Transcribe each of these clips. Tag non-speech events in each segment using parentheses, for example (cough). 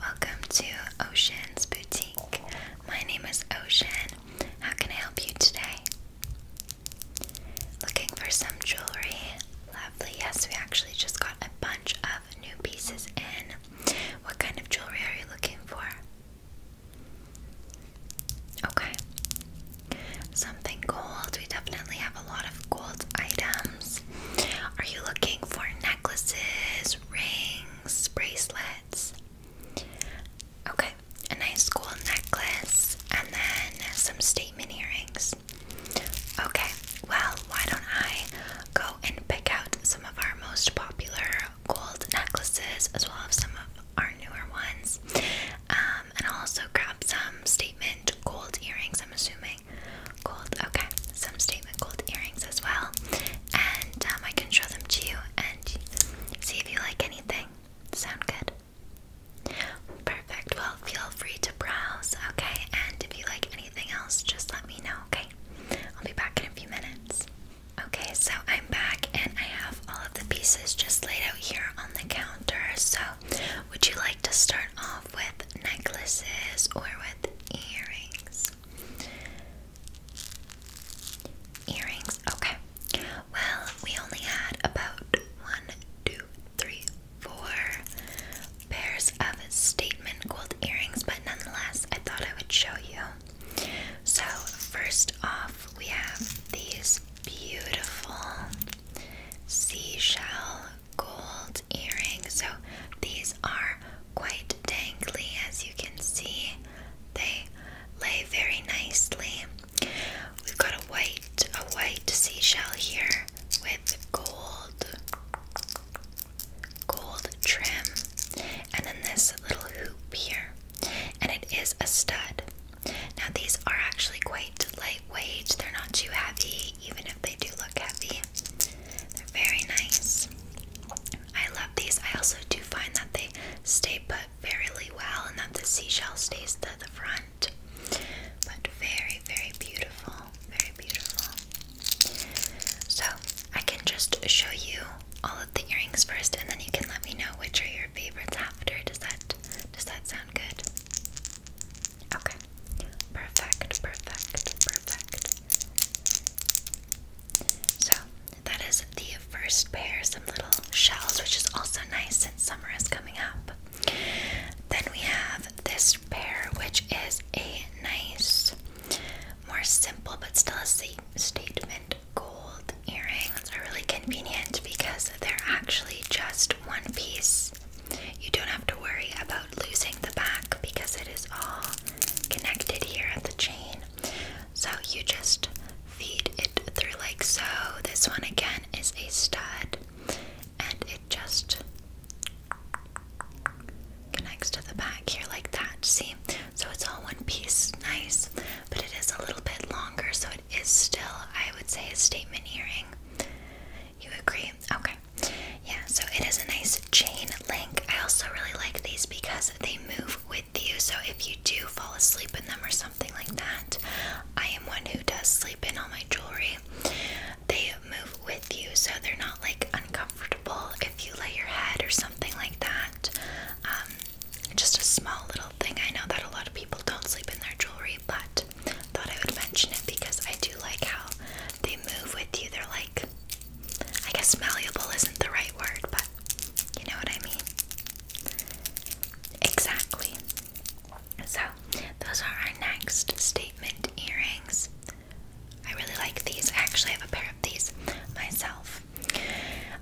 Welcome to Ocean's Boutique. My name is Ocean. How can I help you today? Looking for some jewelry? Lovely. Yes, we actually just got a bunch of new pieces in. What kind of jewelry are you looking for? Okay. Something gold. We definitely have a lot of gold items. Are you looking for necklaces, rings, bracelets? Okay, a nice gold necklace and then some statement earrings. Okay, well, why don't I go and pick out some of our most popular gold necklaces as well as some of our newer ones, um, and also grab some statement gold earrings. I'm assuming gold. Okay, some statement gold earrings as well. And um, I can show them to you and see if you like anything. Sound good? Perfect. Well, feel free to browse, okay? And if you like anything else, just let me know, okay? I'll be back in a few minutes. Okay, so I'm back and I have all of the pieces just laid out here on the counter. So, would you like to start off with necklaces or with? earrings. Earrings, okay. Well, we only had about one, two, three, four pairs of statement gold earrings, but nonetheless, I thought I would show you. So, first off, we have these beautiful seashell gold earrings. So these are quite dangly, as you can see. They lay very nicely. We've got a white, a white seashell here with gold, gold trim, and then this little hoop here, and it is a stud. Now these are actually quite lightweight; they're not too heavy even if they do look heavy. They're very nice. I love these. I also do find that they stay put very well and that the seashell stays to the front. But very, very beautiful. Very beautiful. So I can just show you all of the earrings first and then you can let me know which are your favorites after. Does that does that sound good? Okay. Perfect, perfect, perfect. So, that is the first pair, some little shells, which is also nice since summer is coming up. Then we have this pair, which is a nice, more simple, but still a statement gold earring. It's really convenient because they're actually just one piece you don't have to worry about losing the back because it is all connected here at the chain. So you just feed it through like so. This one again is a stud and it just connects to the back here like that. See? So it's all one piece, nice, but it is a little bit longer, so it is still, I would say, a statement earring. You agree? Okay. Yeah, so it is a nice chain link. I also really like these because they move with you. So if you do fall asleep in them or something like that, I am one who does sleep in all my jewelry. They move with you, so they're not like uncomfortable if you lay your head or something like that. Um, just a small little thing. I know that a lot of people don't sleep in their jewelry, but thought I would mention it because I do like how they move with you. They're like, I guess malleable isn't the right word, but you know what I mean? Exactly. So, those are our next statement earrings. I really like these. I actually have a pair of these myself.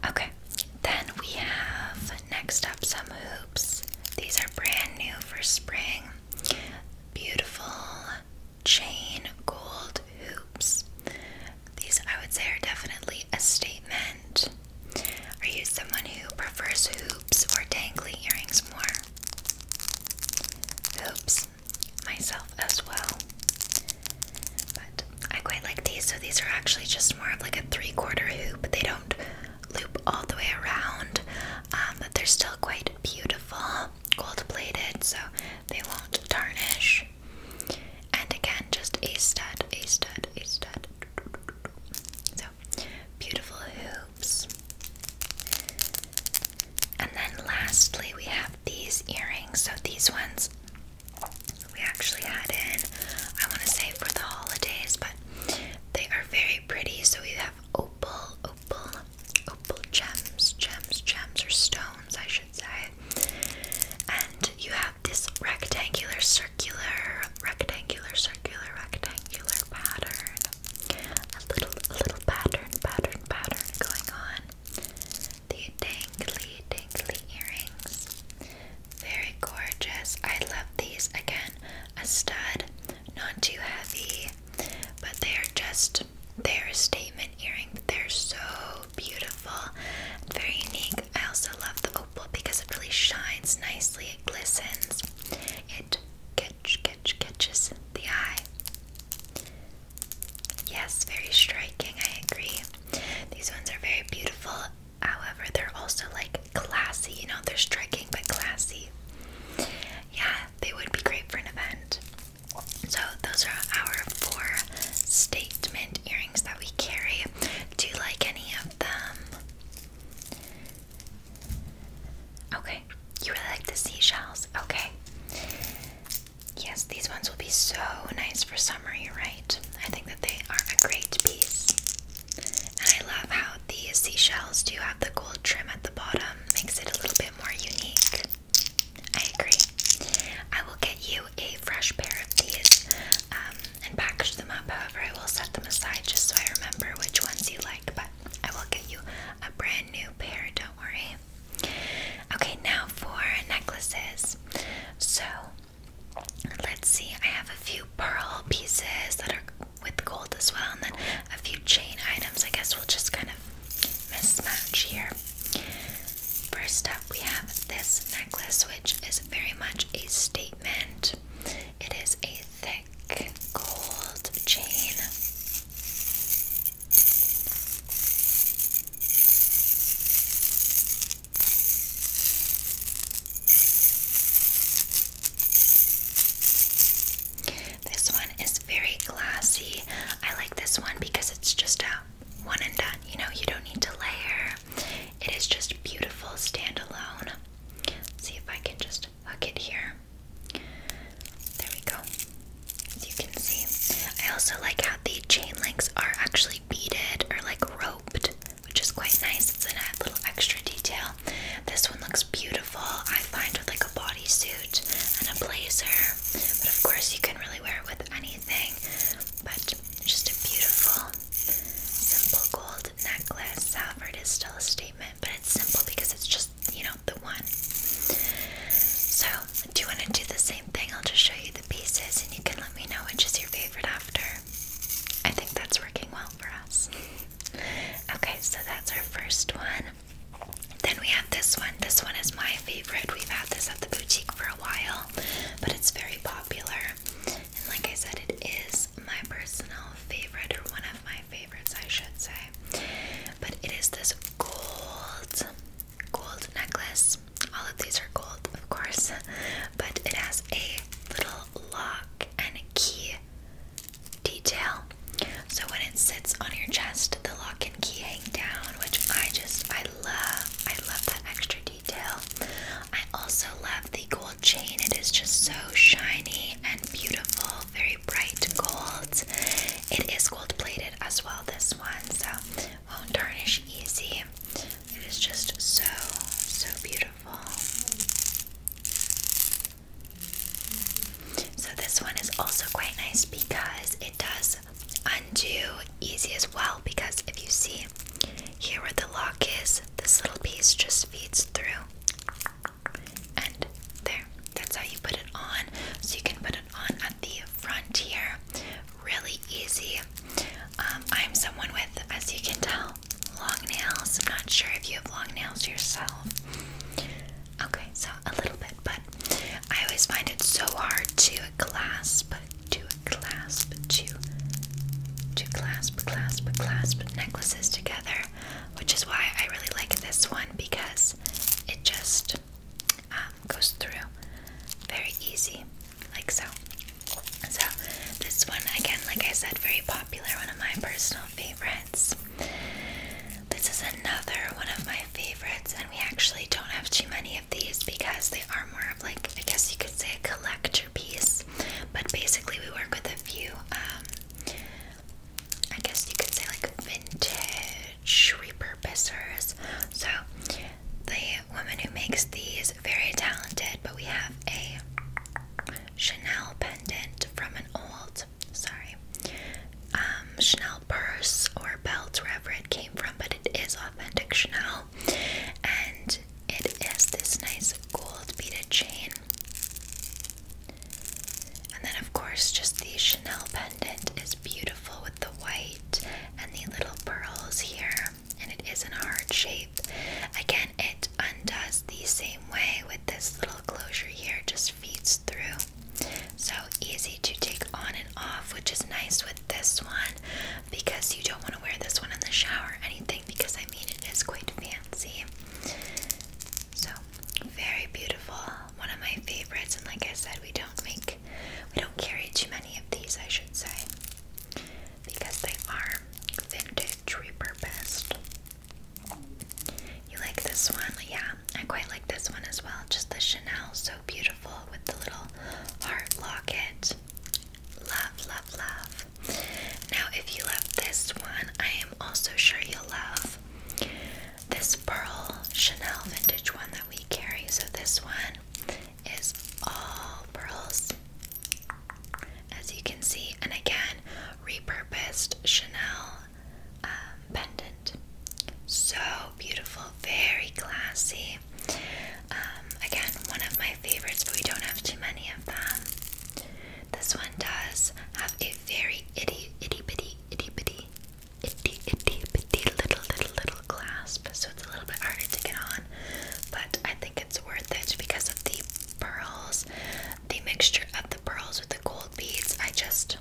Okay, then we have next up some hoops. These are brand new for spring beautiful chain gold hoops. These, I would say, are definitely a statement. Are you someone who prefers hoops or dangly earrings more? Hoops, myself as well. But I quite like these, so these are actually just more of like a three quarter hoop. They don't loop all the way around, um, but they're still quite beautiful, gold plated, so they won't tarnish. And again, just a stud, a stud, a stud. So beautiful hoops. And then lastly, we have these earrings. So these ones we actually had in, I want to say for the holidays, but they are very pretty. So we have opal, opal, opal gems, gems, gems, or stones, I should say. And you have this rectangular, circular, rectangular, circular, rectangular pattern. A little, little pattern, pattern, pattern going on. The dangly, dangly earrings. Very gorgeous. I love these again a stud, not too heavy, but they are just they're statement earring. They're so beautiful, very unique. I also love the opal because it really shines nicely. It glistens. It catch catches the eye. Yes, very striking. I agree. These ones are very beautiful. However, they're also like classy, you know, they're striking but classy. Yeah, they would be great for an event. So those are our four statement earrings that we carry. Do you like any of them? Okay, you really like the seashells. Okay. Yes, these ones will be so nice for summery, right? I think that they are a great piece. And I love how these seashells do have the gold trim at the bottom, makes it a little bit more unique. I agree. I will get you a fresh pair of these um, and package them up. However, I will set them aside just so I remember which ones you like, but I will get you a brand new pair, don't worry. Okay, now for necklaces. So let's see, I have a few pearl pieces that are with gold as well, and then a few chain items. I guess we'll just kind of mismatch here. First up, we have this necklace, which is very much a statement. It is a thick gold chain. This one is very glassy. I like this one because it's just a one and done. You know, you don't need to layer. It is just beautiful standalone. let see if I can just hook it here. There we go. As you can see, I also like how the chain links are actually beaded or like roped which is quite nice. It's a little extra detail. This one looks beautiful, I find, with like a body suit and a blazer. But of course, you can really wear it with anything. But just a beautiful, simple gold necklace. Salford is still a statement, but it's simple because it's just, you know, the one. So, do you want to do the same thing? I'll just show you the pieces and you can let me know which is your favorite after. I think that's working well for us. (laughs) Okay, so that's our first one. Then we have this one. This one is my favorite. We've had this at the boutique for a while, but it's very popular. And like I said, it is my personal favorite, or one of my favorites, I should say. But it is this gold, gold necklace. All of these are gold, of course, (laughs) but it has a little lock and key detail. So when it sits on your chest, the lock and key hang down, which I just I love. I love that extra detail. I also love the gold chain. It is just so shiny and beautiful, very bright gold. It is gold plated as well this one, so won't tarnish easy. It is just so so beautiful. So this one is also quite nice because it does undo easy as well because if you see here where the lock is, this little piece just feeds through. And there. That's how you put it on. So you can put it on at the front here. Really easy. Um, I'm someone with, as you can tell, long nails. I'm not sure if you have long nails yourself. Okay, so a little bit, but I always find it so hard to clasp, to clasp, to to clasp, clasp, clasp necklaces together, which is why I really like this one because it just um, goes through very easy like so. So this one again, like I said, very popular, one of my personal favorites. This is another one of my favorites, and we actually don't have too many of these because they are more of like I guess you could say a collector piece. But basically, we work with a few. Um, I guess you could say like vintage repurposers. So the woman who makes these very talented, but we have a Chanel pendant from an old, sorry, um, Chanel purse or belt, wherever it came from, but it is authentic Chanel. And it is this nice gold beaded chain. And then, of course, just the Chanel pendant is beautiful with the white and the little pearls here and it is in a heart shape. Again, it undoes the same way with this little closure here, just feeds through. So easy to take on and off, which is nice with this one because you don't want to wear this one in the shower or anything because I mean it is quite fancy. So very beautiful. One of my favorites, and like I said, we don't make we don't carry too many of these, I should say because they are vintage repurposed. You like this one? Yeah, I quite like this one as well. Just the Chanel, so beautiful with the little heart locket. Love, love, love. Now, if you love this one, I am also sure you'll love this pearl Chanel vintage one that we carry. So, this one is all pearls as you can see, and again, repurposed Chanel um, pendant. So beautiful, very classy. Um, again, one of my favorites, but we don't have too many of them. This one does have a very itty, itty bitty, itty bitty, itty, itty bitty little, little, little clasp, so it's a little bit harder to get on, but I think it's worth it because of the pearls, the mixture of the pearls with the gold beads. I just,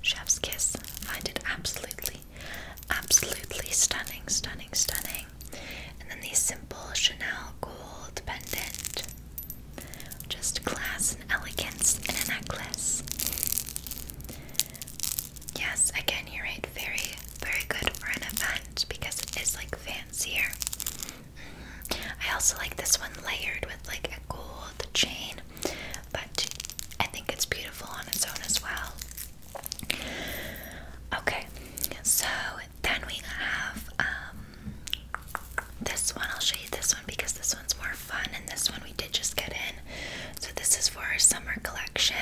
chef's kiss, find it absolutely, absolutely stunning, stunning, stunning. And then these simple Chanel gold pendant. Just class and elegance in a necklace. Yes, again, you're right. Very, very good for an event because it is like fancier. Mm-hmm. I also like this one layered with like a gold chain, but I think it's beautiful on its own as well. Okay, so then we have um, this one. I'll show you this one because this one's more fun, and this one we did just get in. So, this is for our summer collection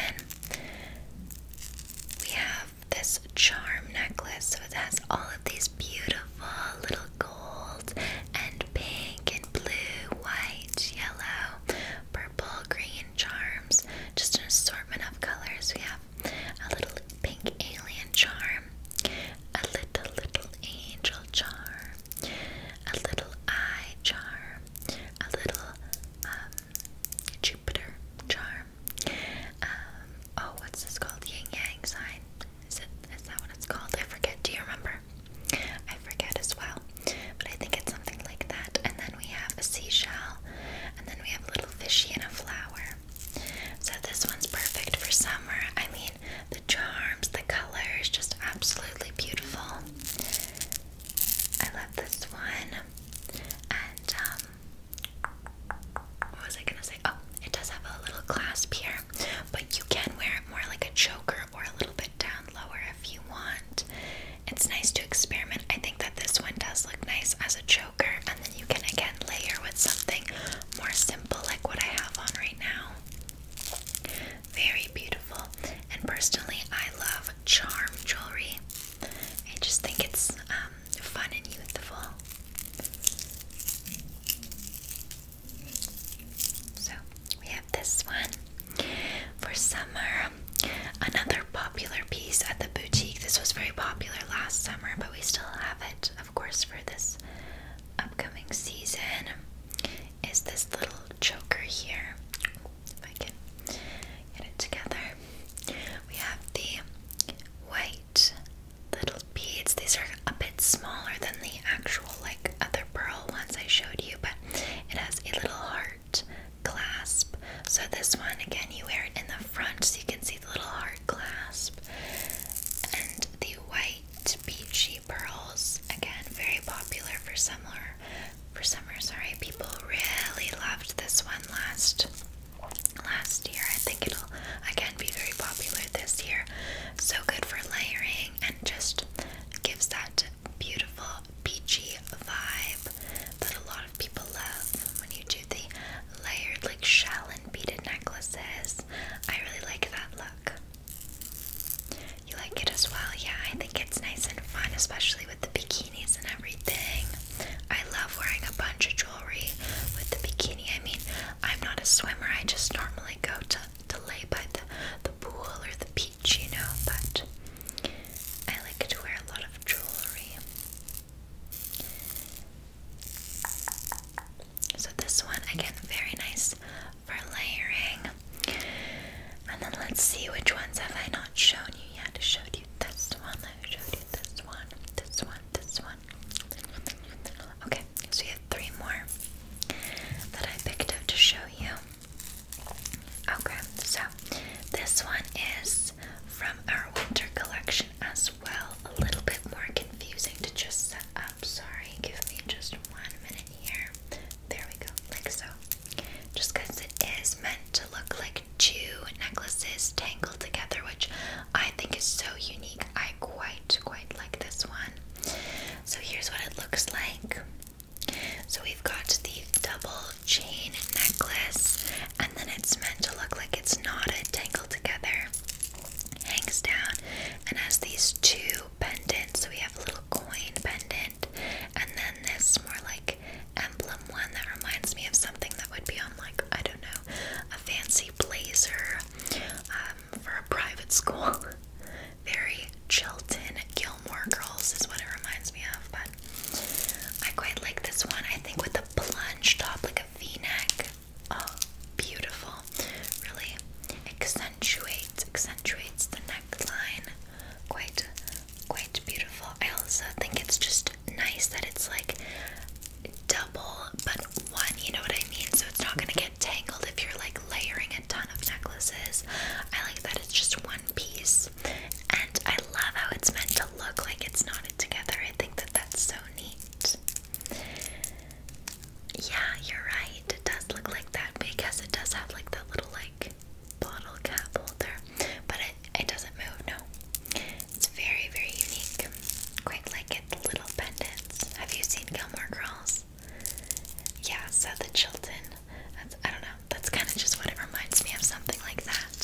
we have this charm necklace, so it has all of these beautiful little gold and pink and blue, white, yellow, purple, green charms. Just an assortment of colors. We have a little pink alien charm, a little little angel charm, a little eye charm, a little um, Jupiter charm. Um, oh, what's this called? Yin Yang sign. Is it? Is that what it's called? I forget. Do you remember? I forget as well. But I think it's something like that. And then we have a seashell. And then we have a little fishy and a flower. So this one's perfect for summer. I mean, the charms, the colors, just absolutely beautiful. I love this one. And um, what was I gonna say? Oh, it does have a little clasp here, but you can wear it more like a choker or a little bit down lower if you want. It's nice to experiment. I think that this one does look nice as a choker, and then you can again layer with something more simple like what I have on right now. Very beautiful. And personally, I love charm jewelry. I just think it's um, fun and youthful. So we have this one for summer. Another popular piece at the boutique. This was very popular last summer, but we still have it, of course, for this upcoming season. Is this little choker here? If I can get it together. We have the white little beads. These are a bit smaller than the actual like other pearl ones I showed you, but it has a little heart clasp. So this one again you wear it in the front so you can see the little heart clasp. And the white beachy pearls, again very popular for summer for summer. Sorry, people really loved this one last last year. I think it'll again be very popular this year. So good for layering and just gives that beautiful peachy vibe that a lot of people love when you do the layered like shell and beaded necklaces. I really like that look. You like it as well? Yeah, I think it's nice and fun, especially with the bikinis and everything. I love wearing a bunch of jewelry with the bikini. I mean, I'm not a swimmer, I just normally go to, to lay by the, the pool or the beach, you know, but I like to wear a lot of jewelry. So, this one again, very nice for layering. And then let's see which ones have I not shown you yet. I showed you this one, I showed you this one, this one, this one. Okay, so we have three more that I picked up to show you. Okay, so this one is from our winter collection as well. A little bit more confusing to just set up. Sorry, give me just one minute here. There we go, like so just because it is meant to look like two necklaces tangled together, which I think is so unique. I quite, quite like this one. So here's what it looks like. So we've got the double chain necklace, and then it's meant to look like it's knotted, tangled together, hangs down, and has these two pendants. So we have a little coin pendant, and then this more like emblem one that reminds me of something that would be on like I don't know a fancy blazer um, for a private school. (laughs) Very Chilton Gilmore Girls is what it reminds me of, but I quite like this one. I think with a plunge top, like a V-neck. Oh, beautiful! Really accentuates accentuates the neck neckline. Quite, quite beautiful. I also think it's just nice that it's like double but one, you know what I mean? So it's not gonna get tangled if you're like layering a ton of necklaces. I like that it's just one piece. And I love how it's meant to look like it's knotted together. I think that that's so neat. Yeah, you're right. It does look like that because it does have like that little like like cap holder, but it, it doesn't move, no. It's very, very unique. Quite like it, little pendants. Have you seen Gilmore Girls? Yeah, so the Chilton. I don't know, that's kind of just what it reminds me of, something like that.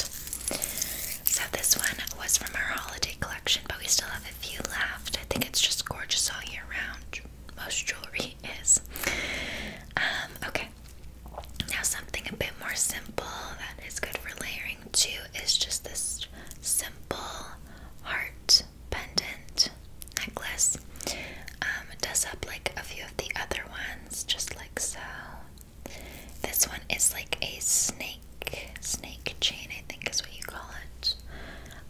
So this one was from our holiday collection, but we still have a few left. I think it's just gorgeous all year round most jewelry is. Um, okay. Now something a bit more simple that is good for layering too is just this simple heart pendant necklace. Um, does up like a few of the other ones, just like so. This one is like a snake, snake chain, I think is what you call it.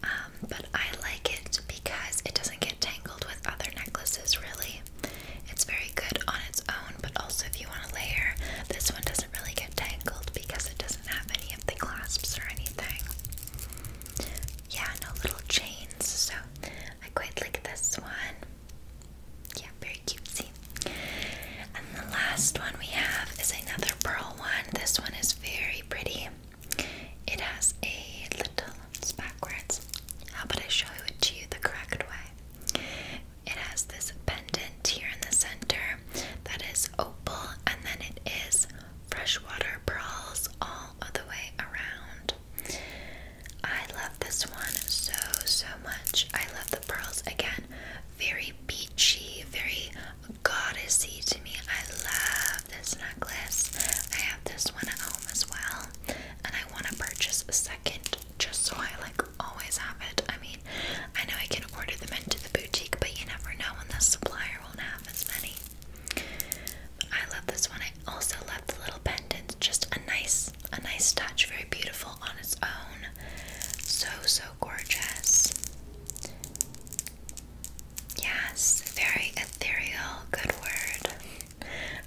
Um, um, but I like it because it doesn't get tangled with other necklaces, really. It's very good on its own, but also if you want to layer, this one doesn't really get tangled because it doesn't have any of the clasps or anything. Yeah, no little chains, so I quite like this one. Yeah, very cutesy. And the last one we have is another pearl one. This one is very pretty. It has a little it's backwards. How about I show it to you the correct way? It has this pendant here in the center that is opal, and then it is freshwater pearls all the way around. I love this one so, so much. I love the pearls again. Very beachy, very goddessy to me. I love this necklace. I have this one at home as well. And I want to purchase a second just so I like always have it. I mean, I know I can order them into the boutique, but you never know when the supplier won't have as many. I love this one. I also love the little pendant. Just a nice, a nice touch. Very beautiful on its own. So so gorgeous. Yes, very ethereal. Good word.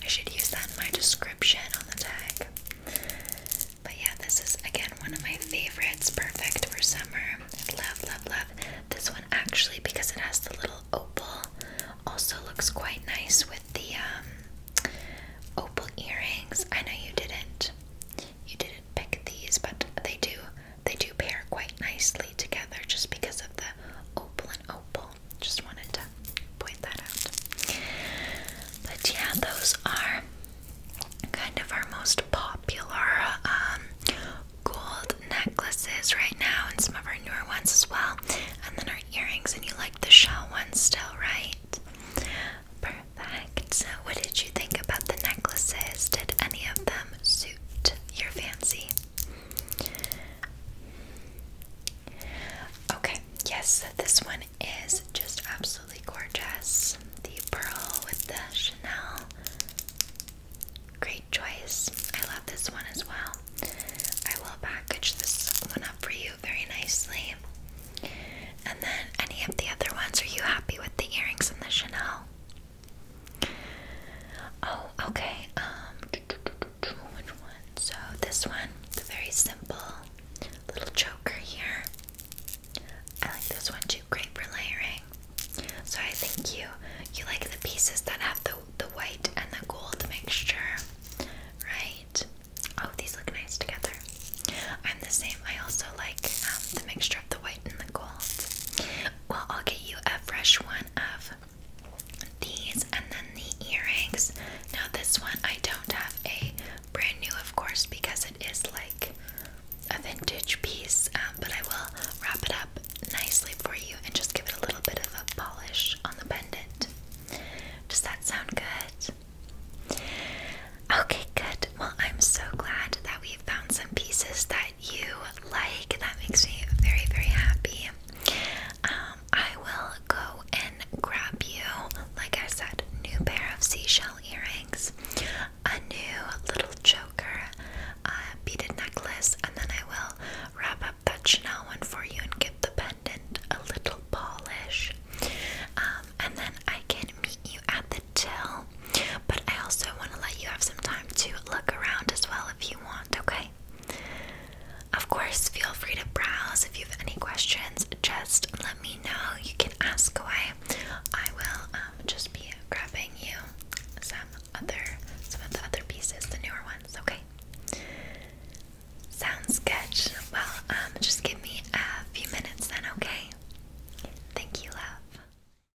I should use that in my description on the tag. But yeah, this is again one of my favorites. Perfect for summer. Love, love, love. This one actually, because it has the little opal, also looks quite nice with the um, opal earrings. I know you didn't, you didn't pick these, but they do they do pair quite nicely together just because of the opal and opal. Just wanted to point that out. But yeah, those are kind of our most popular um, gold necklaces right now, and some of our newer ones as well. And then our earrings, and you like the shell ones still, right? Perfect. So, what did you think about the necklaces? Did any of them suit your fancy? Okay, yes, this one is just absolutely gorgeous. The pearl with the Chanel. Great choice. I love this one as well. I will package this one up for you very nicely. And then, any of the other ones, are you happy with the earrings and the Chanel? Oh, okay. Um, So this one, the very simple little choker here. I like this one too. Great for layering. So I think you you like the pieces that have the the white and the gold mixture, right? Oh, these look nice together. I'm the same. I also like um, the mixture of the white and the gold. Well, I'll get you a fresh one of these and then the earrings. Now, this one I don't have a brand new, of course, because it is like a vintage piece, um, but I will wrap it up nicely for you and just give it a little bit of a polish on the pendant. Does that sound good? Okay, good. Well, I'm so glad that we found some pieces that that you like. That makes me very, very happy. Um, I will go and grab you, like I said, new pair of seashell earrings, a new little choker, a beaded necklace, and then I will wrap up that Chanel one for you and give the pendant a little polish. Um, and then I can meet you at the till but I also want to let you have some time to look around as well if you want, okay? Of course, feel free to browse. If you have any questions, just let me know. You can ask away. I will um, just be grabbing you some other, some of the other pieces, the newer ones. Okay. Sounds good. Well, um, just give me a few minutes then. Okay. Thank you, love.